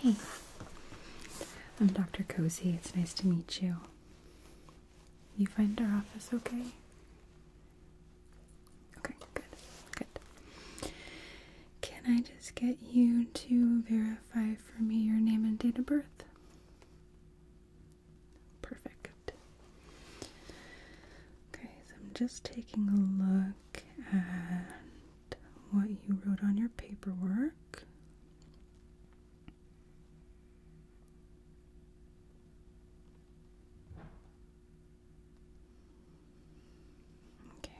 Hey, I'm Dr. Cozy. It's nice to meet you. You find our office okay? Okay, good, good. Can I just get you to verify for me your name and date of birth? Perfect. Okay, so I'm just taking a look at what you wrote on your paperwork. Okay.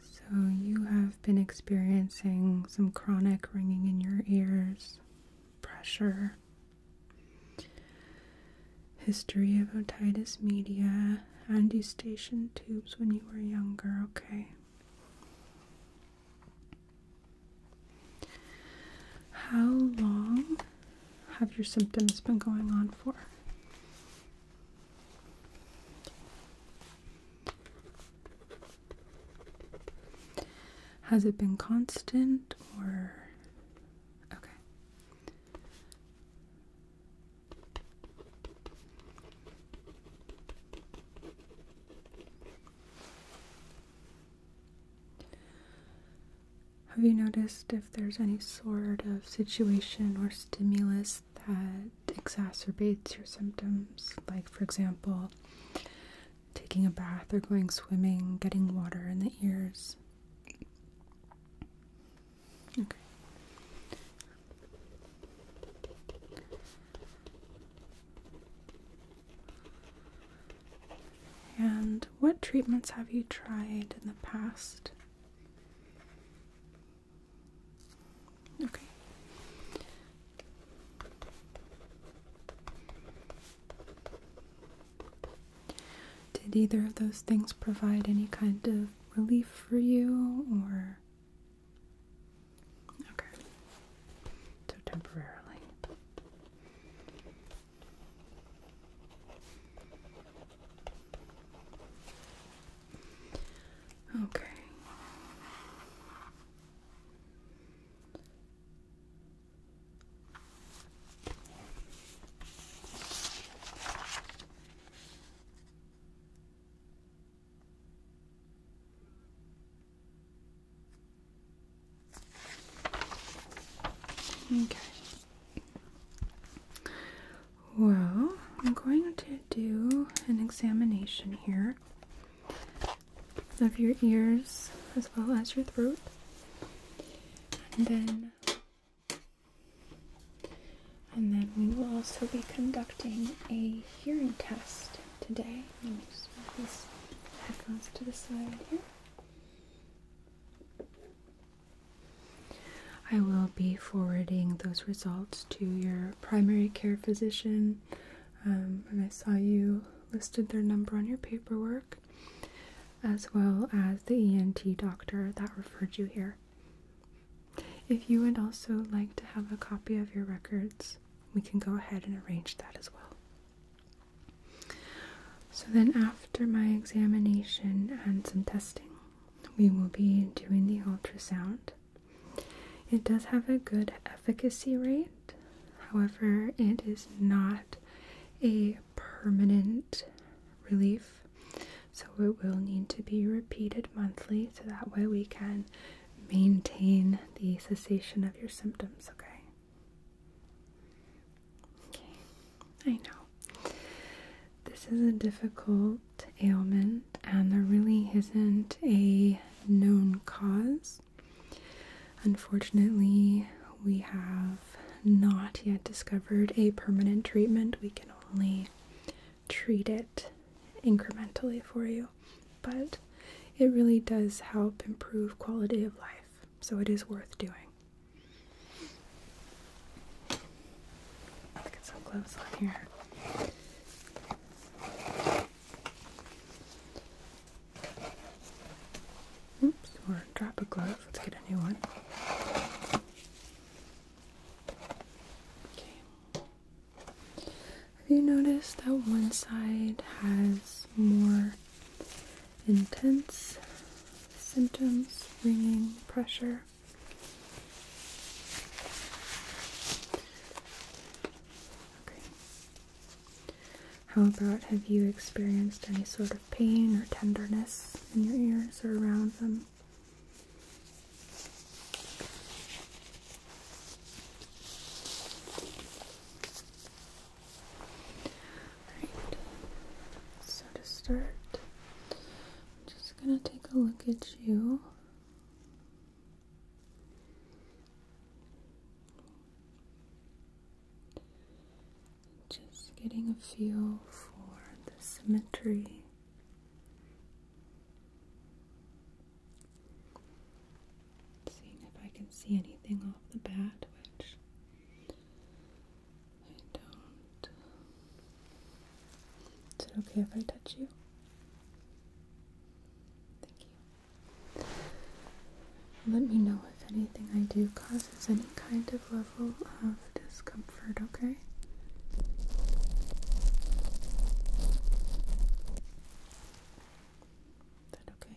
So you have been experiencing some chronic ringing in your ears, pressure, history of otitis media, and eustachian tubes when you were younger, okay? How long have your symptoms been going on for? Has it been constant or okay? Have you noticed if there's any sort of situation or stimulus that exacerbates your symptoms? Like, for example, taking a bath or going swimming, getting water in the ears. Okay. And what treatments have you tried in the past? Okay. Did either of those things provide any kind of relief for you or Okay. So temporarily. Okay. Okay. Well, I'm going to do an examination here of your ears as well as your throat. And then and then we will also be conducting a hearing test today. I will be forwarding those results to your primary care physician. and um, I saw you listed their number on your paperwork, as well as the ENT doctor that referred you here. If you would also like to have a copy of your records, we can go ahead and arrange that as well. So then, after my examination and some testing, we will be doing the ultrasound. It does have a good efficacy rate, however, it is not a permanent relief. So it will need to be repeated monthly so that way we can maintain the cessation of your symptoms, okay? Okay, I know. This is a difficult ailment, and there really isn't a known cause. Unfortunately, we have not yet discovered a permanent treatment. We can only treat it incrementally for you but it really does help improve quality of life, so it is worth doing. Let's get some gloves on here. Oops, or drop a glove. Let's get a new one. Okay. Have you noticed that one side has more intense symptoms, ringing, pressure. Okay. How about have you experienced any sort of pain or tenderness in your ears or around them? Alright, so to start, I'm just gonna take a look at you. Just getting a feel for the symmetry seeing if I can see anything off the bat, which I don't. Is it okay if I touch you? Thank you. Let me know if anything I do causes any kind of level of discomfort, okay? Is that okay?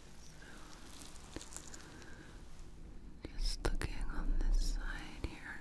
Just looking on this side here.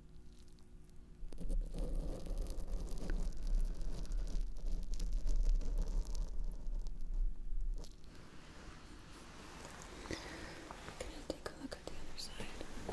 Can I take a look at the other side?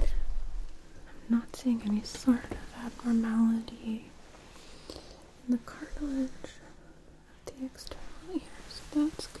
I'm not seeing any sort of abnormality in the cartilage of the external ear, so that's good.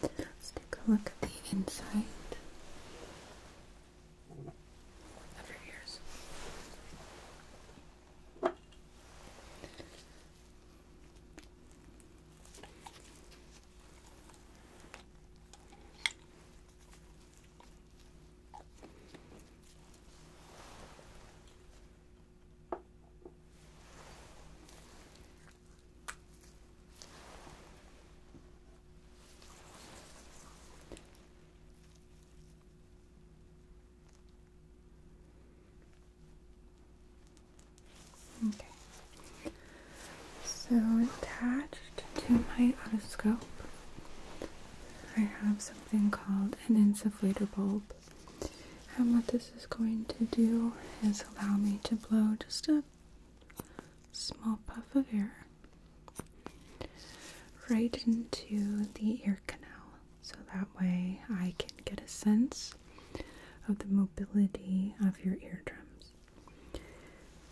Let's take a look at the inside of your Okay. So attached to my otoscope, I have something called an insufflator bulb. And what this is going to do is allow me to blow just a small puff of air right into the ear canal so that way I can get a sense of the mobility of your eardrums.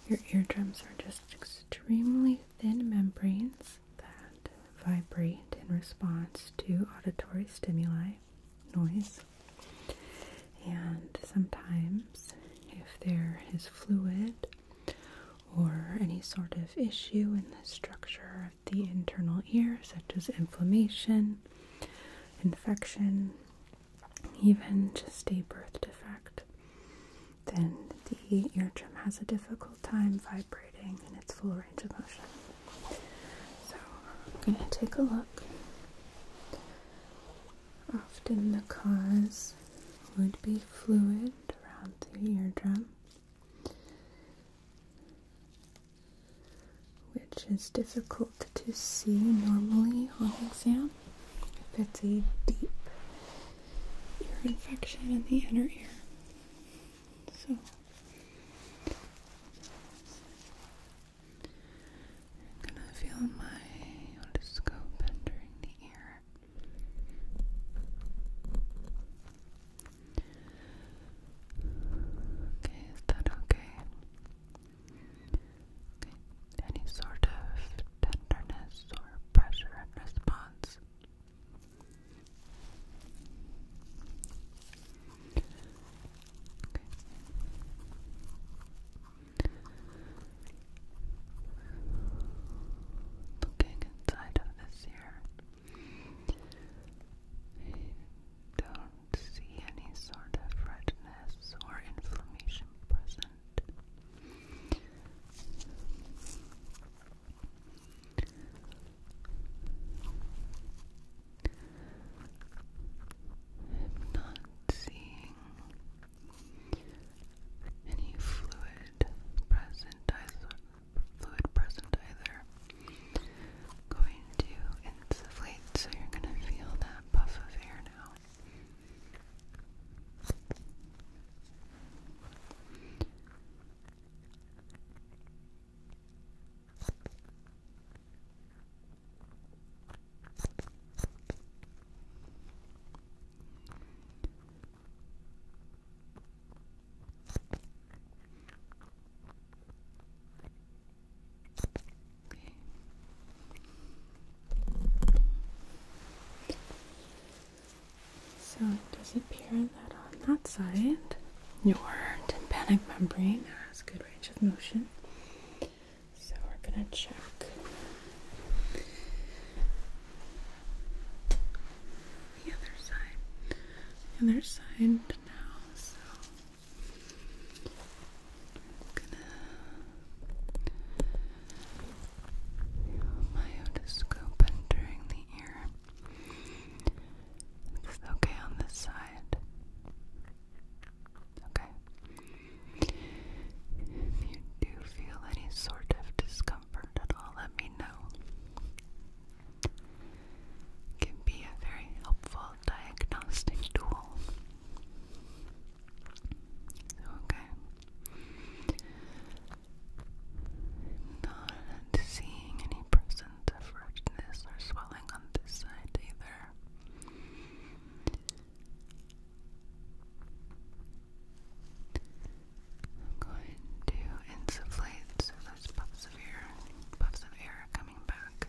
Your eardrums are just extremely thin membranes that vibrate in response to auditory stimuli, noise. And sometimes, if there is fluid or any sort of issue in the structure of the internal ear, such as inflammation, infection, even just a birth defect, then the eardrum has a difficult time vibrating in its full range of motion. So I'm going to take a look. Often the cause would be fluid around the eardrum, which is difficult to see normally on exam. If it's a deep ear infection in the inner ear. So I'm gonna feel my otoscope entering the ear. Okay, is that okay? any sort of tenderness or pressure in response? Okay. Looking inside of this here, don't see any sort of redness or inflammation present. I'm not seeing any fluid present, either. going to insufflate, so you're going to feel that puff of air now. So it does appear that on that side, your tympanic membrane has good range of motion. So we're going to check. The other side, other side now. So I'm entering the ear. It's okay on this side. Okay. If you do feel any sort of discomfort at all, let me know. can be a very helpful diagnostic tool. Okay. Not seeing any presence of redness or swelling on this side either. I'm going to insufflate those puffs of air, puffs of air coming back.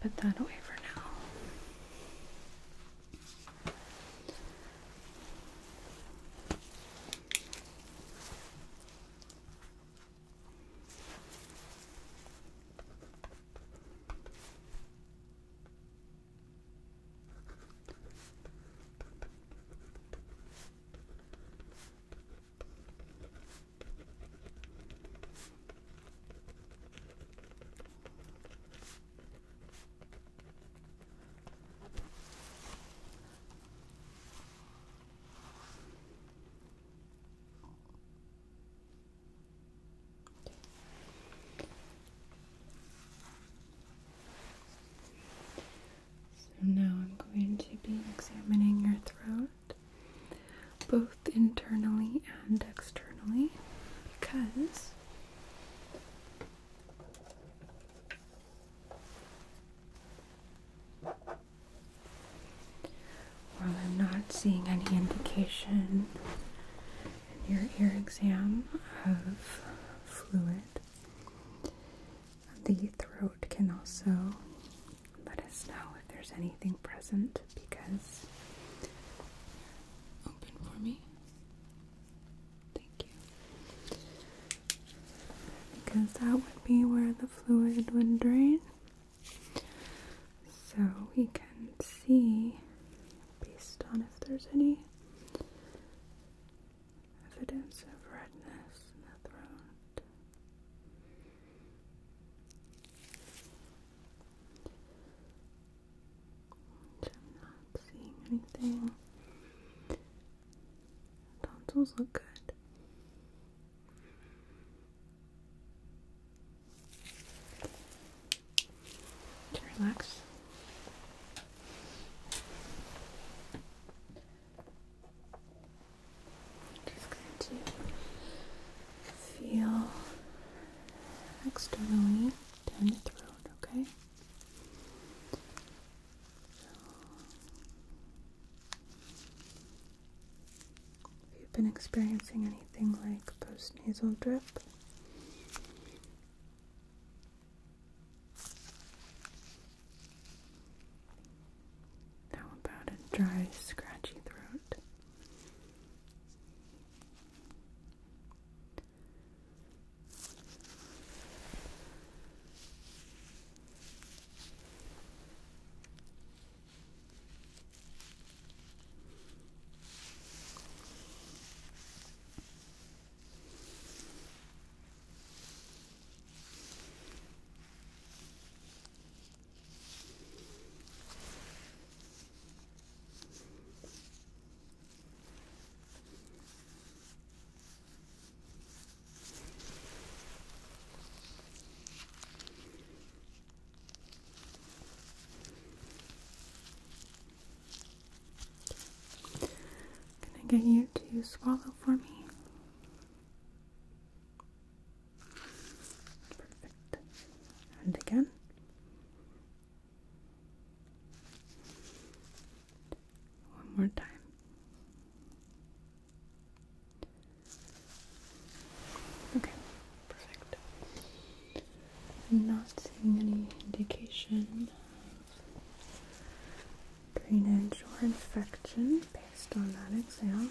Put that away for now. So now I'm going to be examining your throat both internally and externally, because while I'm not seeing any indication in your ear exam of fluid, the throat can also let us know if there's anything present because. Open for me. Thank you. Because that would be where the fluid would drain. So we can see, based on if there's any evidence of redness in the throat. And I'm not seeing anything. Tonsils look good. To relax. Just going to feel externally down the throat, okay? So, if you've been experiencing anything like postnasal drip, how about a dry, scratchy throat? Can I get you to swallow for me? Perfect. And again. One more time. Okay, perfect. I'm not seeing any indication of drainage or infection based on that exam.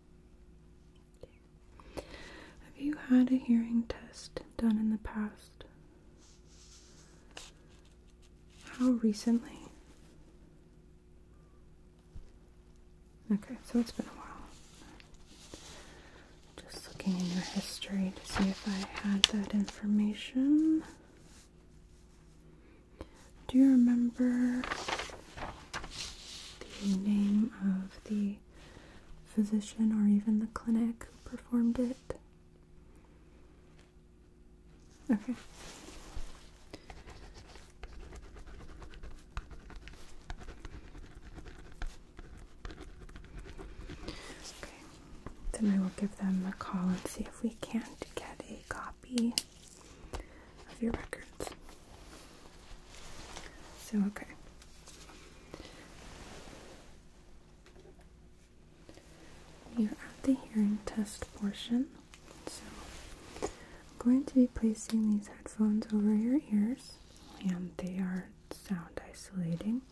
Have you had a hearing test done in the past? How recently? Okay, so it's been a while. Just looking in your history to see if I had that information. Do you remember the name of the physician or even the clinic who performed it. Okay. Okay, then I will give them a call and see if we can't get a copy of your records. So, okay. You're at the hearing test portion. So, I'm going to be placing these headphones over your ears, and they are sound isolating.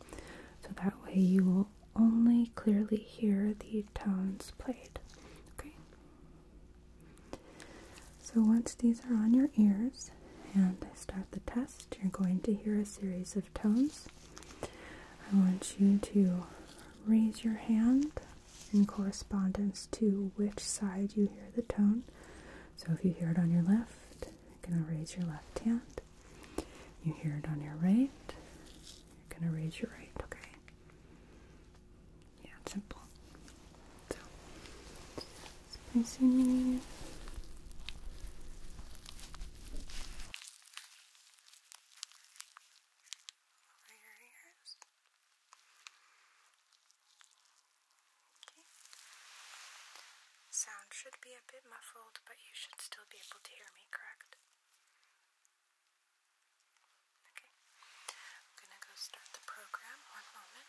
So that way you will only clearly hear the tones played. Okay? So once these are on your ears and I start the test, you're going to hear a series of tones. I want you to raise your hand in correspondence to which side you hear the tone. So if you hear it on your left, you're going to raise your left hand. You hear it on your right, you're going to raise your right, okay? Yeah, simple. So, spicy mini. Over your ears. Okay. Sound should be a bit muffled, but you should still be able to hear me, correct? Okay. I'm gonna go start the program. One moment.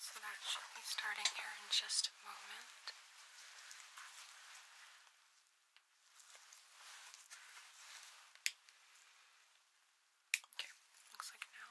So that should be starting here in just moment. Okay, looks like now.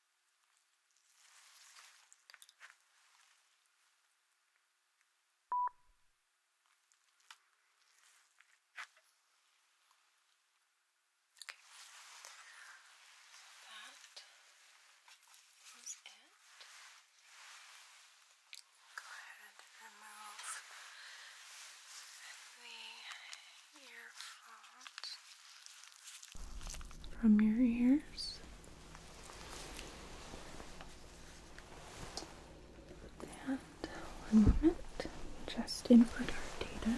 was it. Go ahead and remove the earphones from your ears and one moment just input our data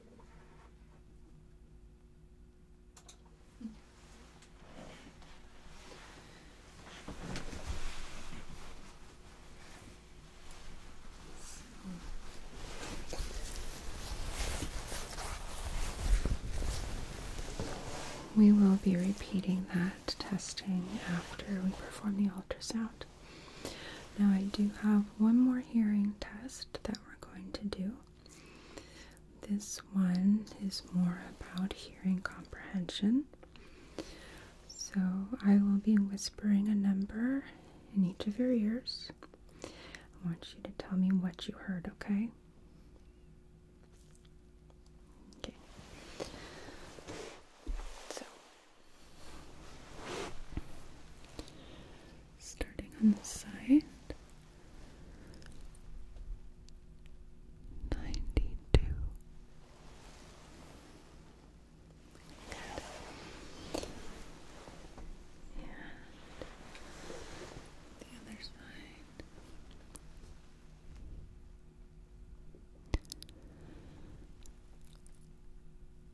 We will be repeating that testing after we perform the ultrasound. Now, I do have one more hearing test that we're going to do. This one is more about hearing comprehension. So I will be whispering a number in each of your ears. I want you to tell me what you heard, okay? Okay. So starting on the side. 92 Good. And the other side.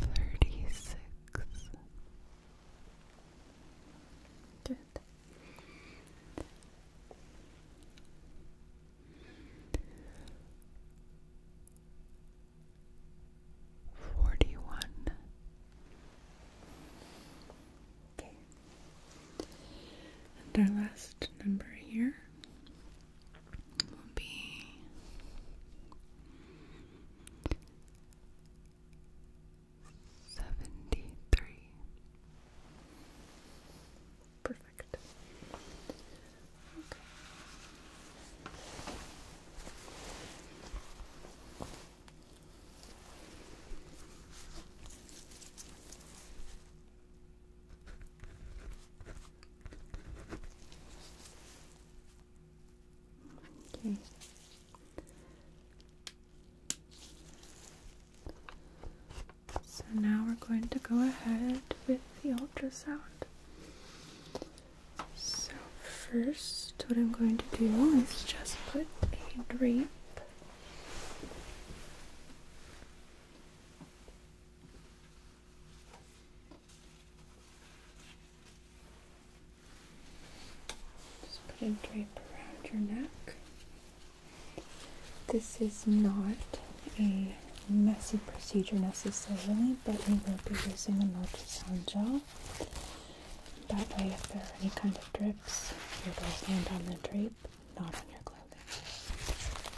36 Good. Forty one. Okay. And our last number here will be seventy three. Perfect. Okay. Okay. So now we're going to go ahead with the ultrasound. So, first, what I'm going to do is just put a drape just put a drape around your neck. This is not a messy procedure necessarily, but we will be using an ultrasound gel. That way, if there are any kind of drips, it'll land on the drape, not on your clothing.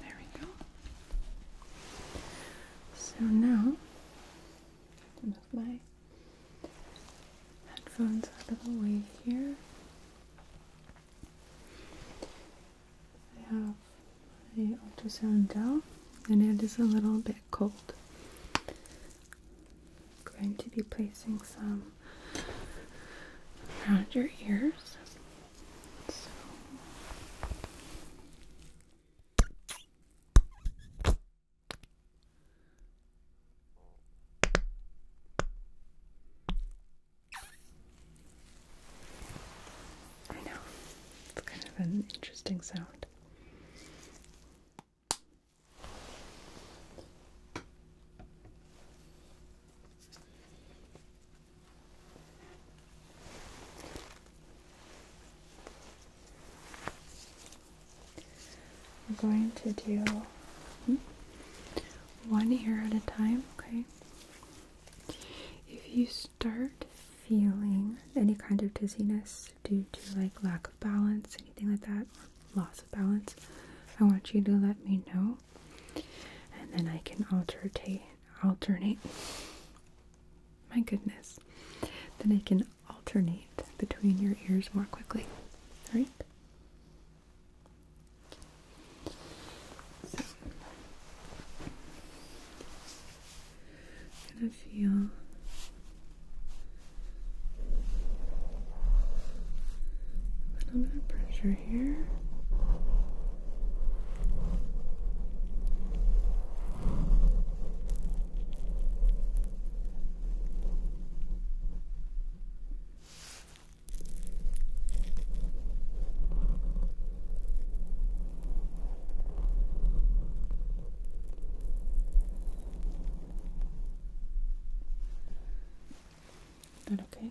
There we go. So now, move my headphones out of the way here. I have my ultrasound down, and it is a little bit cold. I'm going to be placing some around your ears. I know, it's kind of an interesting sound. We're going to do hmm, one here at a time, okay? If you start feeling any kind of dizziness due to like lack of balance, anything like that, loss of balance, I want you to let me know, and then I can alternate. Alternate. My goodness. Then I can alternate between your ears more quickly. All right. gonna feel a little bit of pressure here. Is that okay? Okay.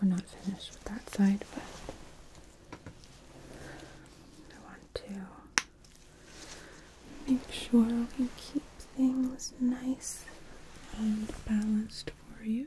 We're not finished with that side, but I want to make sure we keep things nice and balanced for you.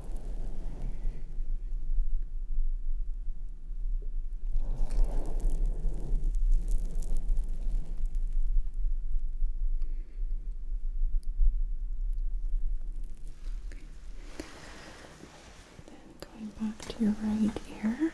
Then going back to your right ear.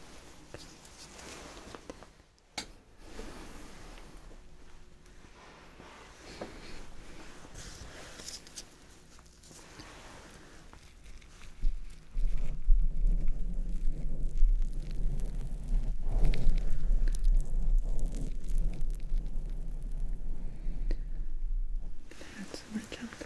Add some more chocolate.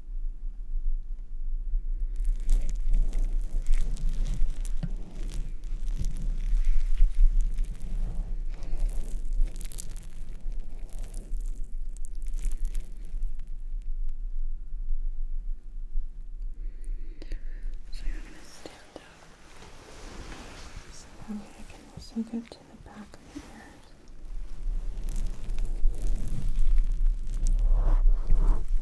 So I'm going to stand up so that way I can also get to the back of the ears.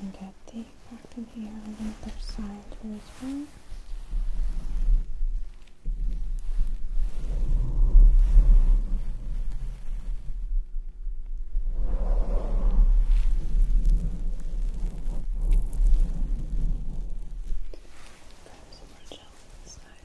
and get the back in here on the other side here as well. Grab more gel on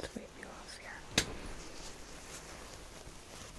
Let's wipe you off here.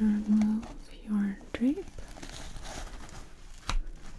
Okay. You can also remove your drape.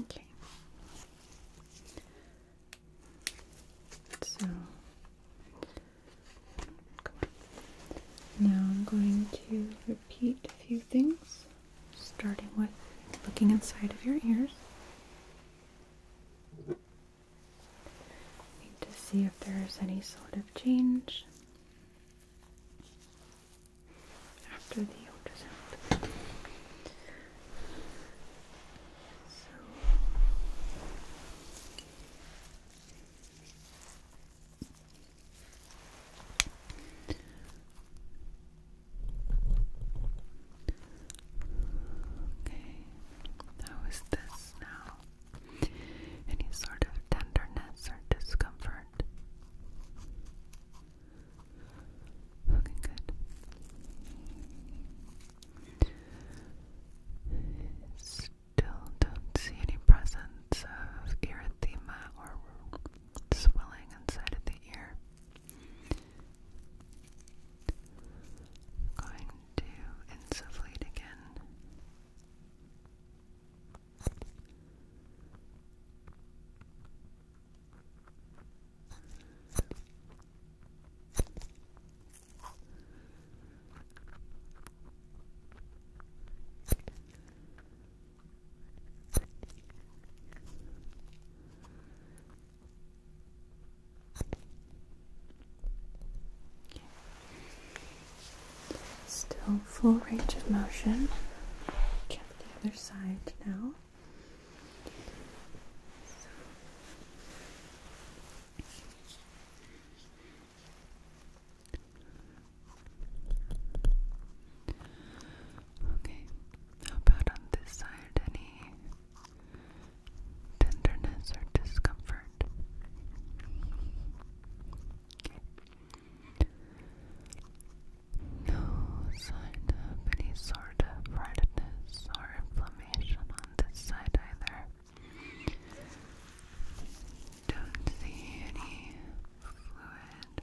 Okay. So now I'm going to repeat a few things, starting with looking inside of your ears. Need to see if there is any sort of change after the ultrasound. Okay, how is this now? Any sort of tenderness or discomfort? Okay, good. Still don't see any presence of erythema or swelling inside of the ear. going to insufflate again. Still full range of motion. Check the other side now. Okay, how about on this side? Any tenderness or discomfort? No sign of any sort of redness or inflammation on this side either. Don't see any fluid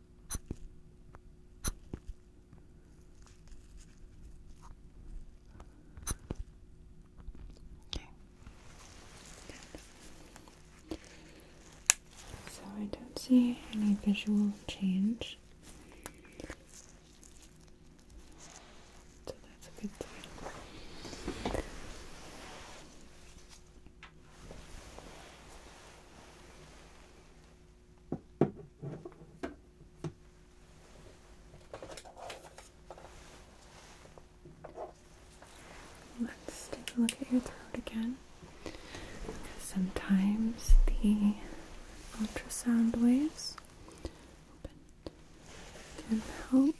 So I don't see any visual change. So that's a good thing. Let's take a look at your throat again. Sometimes the ultrasound waves can help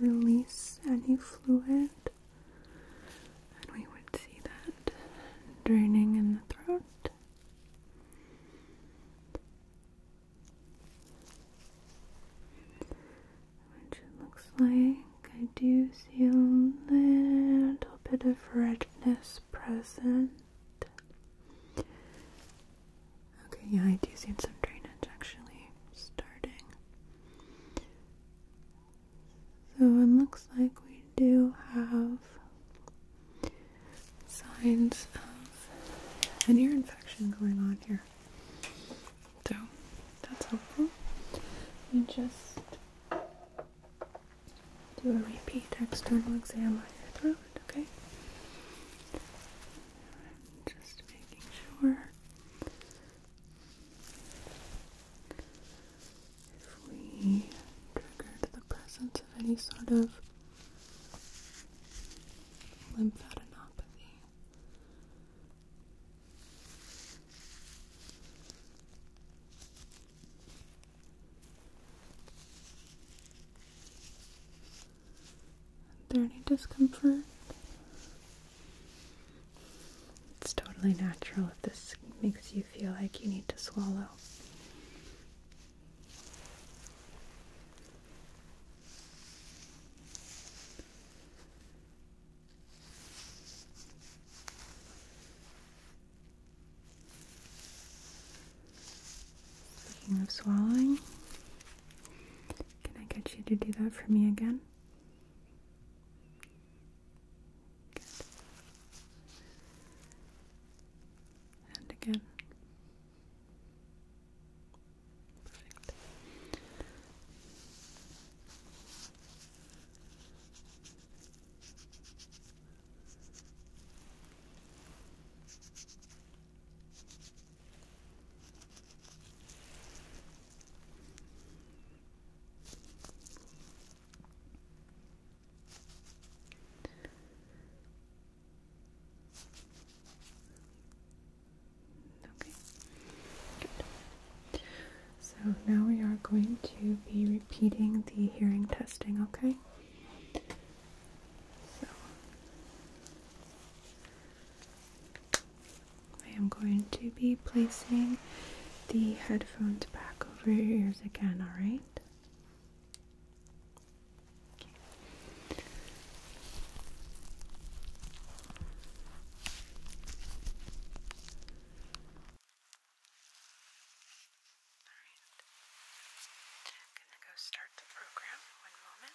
release any fluid and we would see that draining in the throat. Which looks like I do see a little bit of redness present. Okay, yeah, I do see some drainage actually starting. So it looks like we do have signs of an ear infection going on here. So that's helpful. And just do a repeat external exam on your throat, okay? Just making sure if we triggered the presence of any sort of lymphadenopathy. Is there any discomfort? It's totally natural if this makes you feel like you need to swallow. Speaking of swallowing, can I get you to do that for me again? And again. Perfect. Okay, good. So now we are going to be repeating the hearing testing, okay? So I am going to be placing the headphones back over your ears again, alright? right? Okay. Alright. Gonna go start the program. One moment.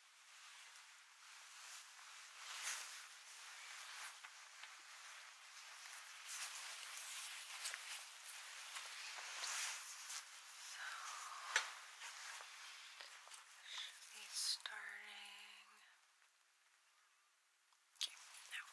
should be starting okay, now. Okay.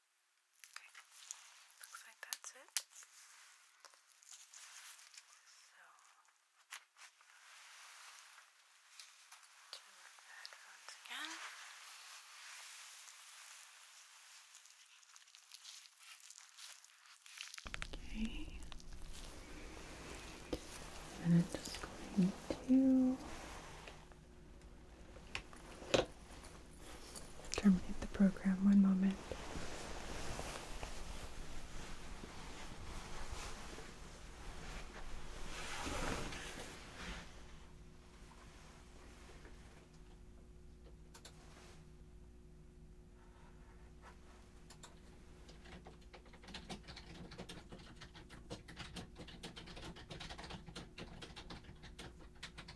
Okay, looks like that's it. So, turn the headphones again. Okay, I'm just going to Terminate the program one moment.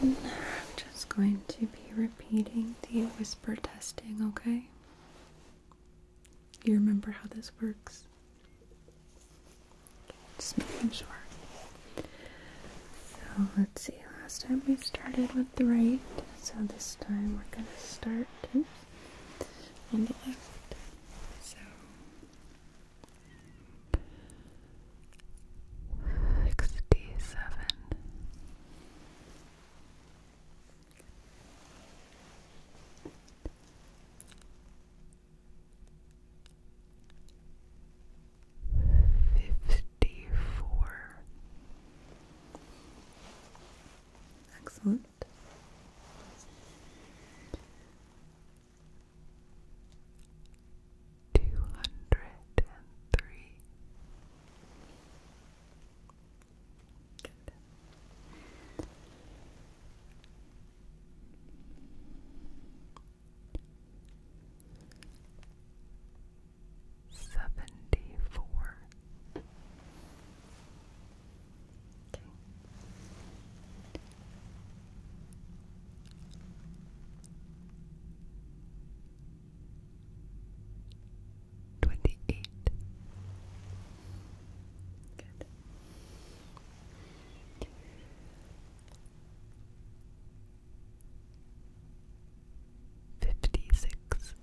Then I'm just going to repeating the whisper testing, okay? You remember how this works? just making sure. So let's see, last time we started with the right, so this time we're gonna start on the left. So sixty seven. Excellent two hundred and three. Seventy four. Twenty-eight. Good. Fifty-six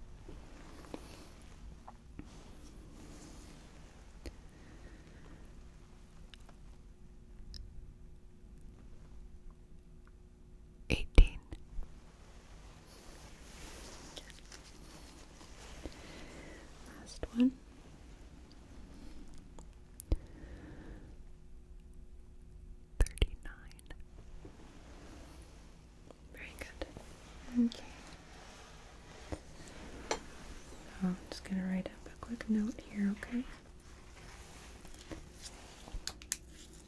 eighteen. Last one. Thirty nine. Very good. Okay. I'm just going to write up a quick note here, okay?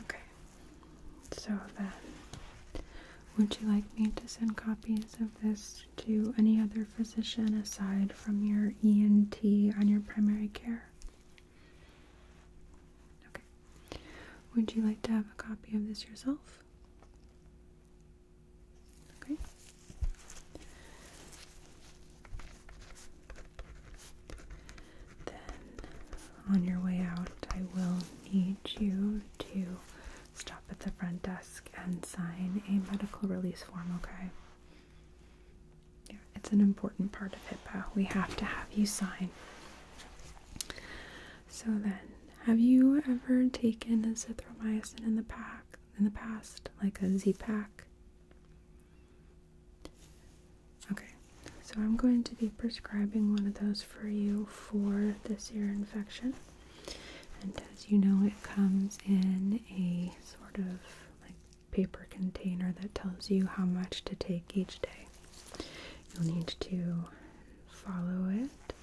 Okay, so then would you like me to send copies of this to any other physician aside from your ENT on your primary care? Okay. Would you like to have a copy of this yourself? Okay. Then on your way out, I will need you to stop at the front desk and sign a medical release form, okay? it's an important part of HIPAA. We have to have you sign. So then, have you ever taken azithromycin in the pack in the past, like a Z pack? Okay, so I'm going to be prescribing one of those for you for this ear infection. And as you know, it comes in a sort of like paper container that tells you how much to take each day. You'll need to follow it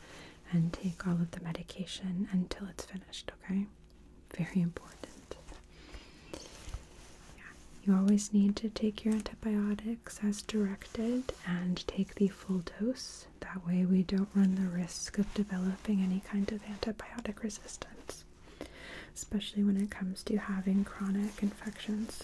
and take all of the medication until it's finished, okay? Very important. Yeah. You always need to take your antibiotics as directed and take the full dose. That way, we don't run the risk of developing any kind of antibiotic resistance, especially when it comes to having chronic infections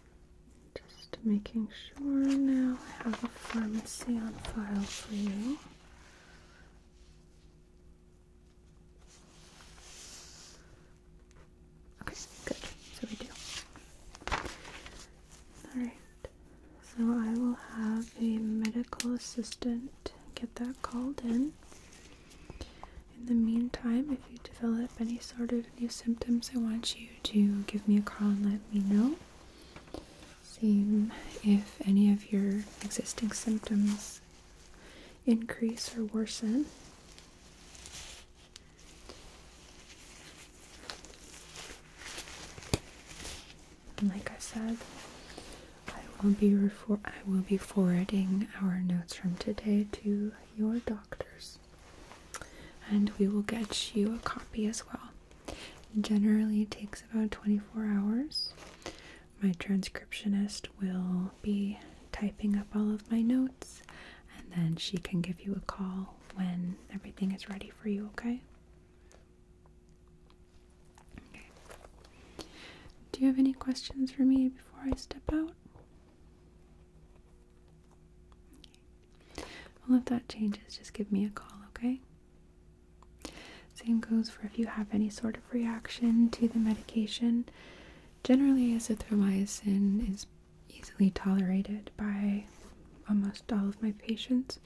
just making sure now I have a pharmacy on file for you. Okay, good. So we do. Alright, so I will have a medical assistant get that called in. In the meantime, if you develop any sort of New symptoms, I want you to give me a call and let me know. See if any of your existing symptoms increase or worsen. like I said, I will be I will be forwarding our notes from today to your doctors. And we will get you a copy as well. Generally, it takes about 24 hours. My transcriptionist will be typing up all of my notes, and then she can give you a call when everything is ready for you, okay? Okay. Do you have any questions for me before I step out? Well, if that changes, just give me a call, okay? Same goes for if you have any sort of reaction to the medication. Generally, azithromycin is easily tolerated by almost all of my patients,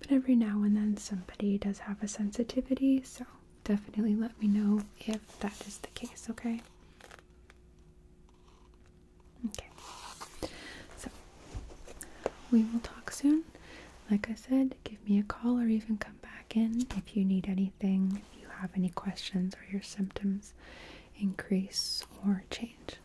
but every now and then somebody does have a sensitivity, so definitely let me know if that is the case, okay? Okay. So we will talk soon. Like I said, give me a call or even come back in if you need anything, if you have any questions or your symptoms increase or change.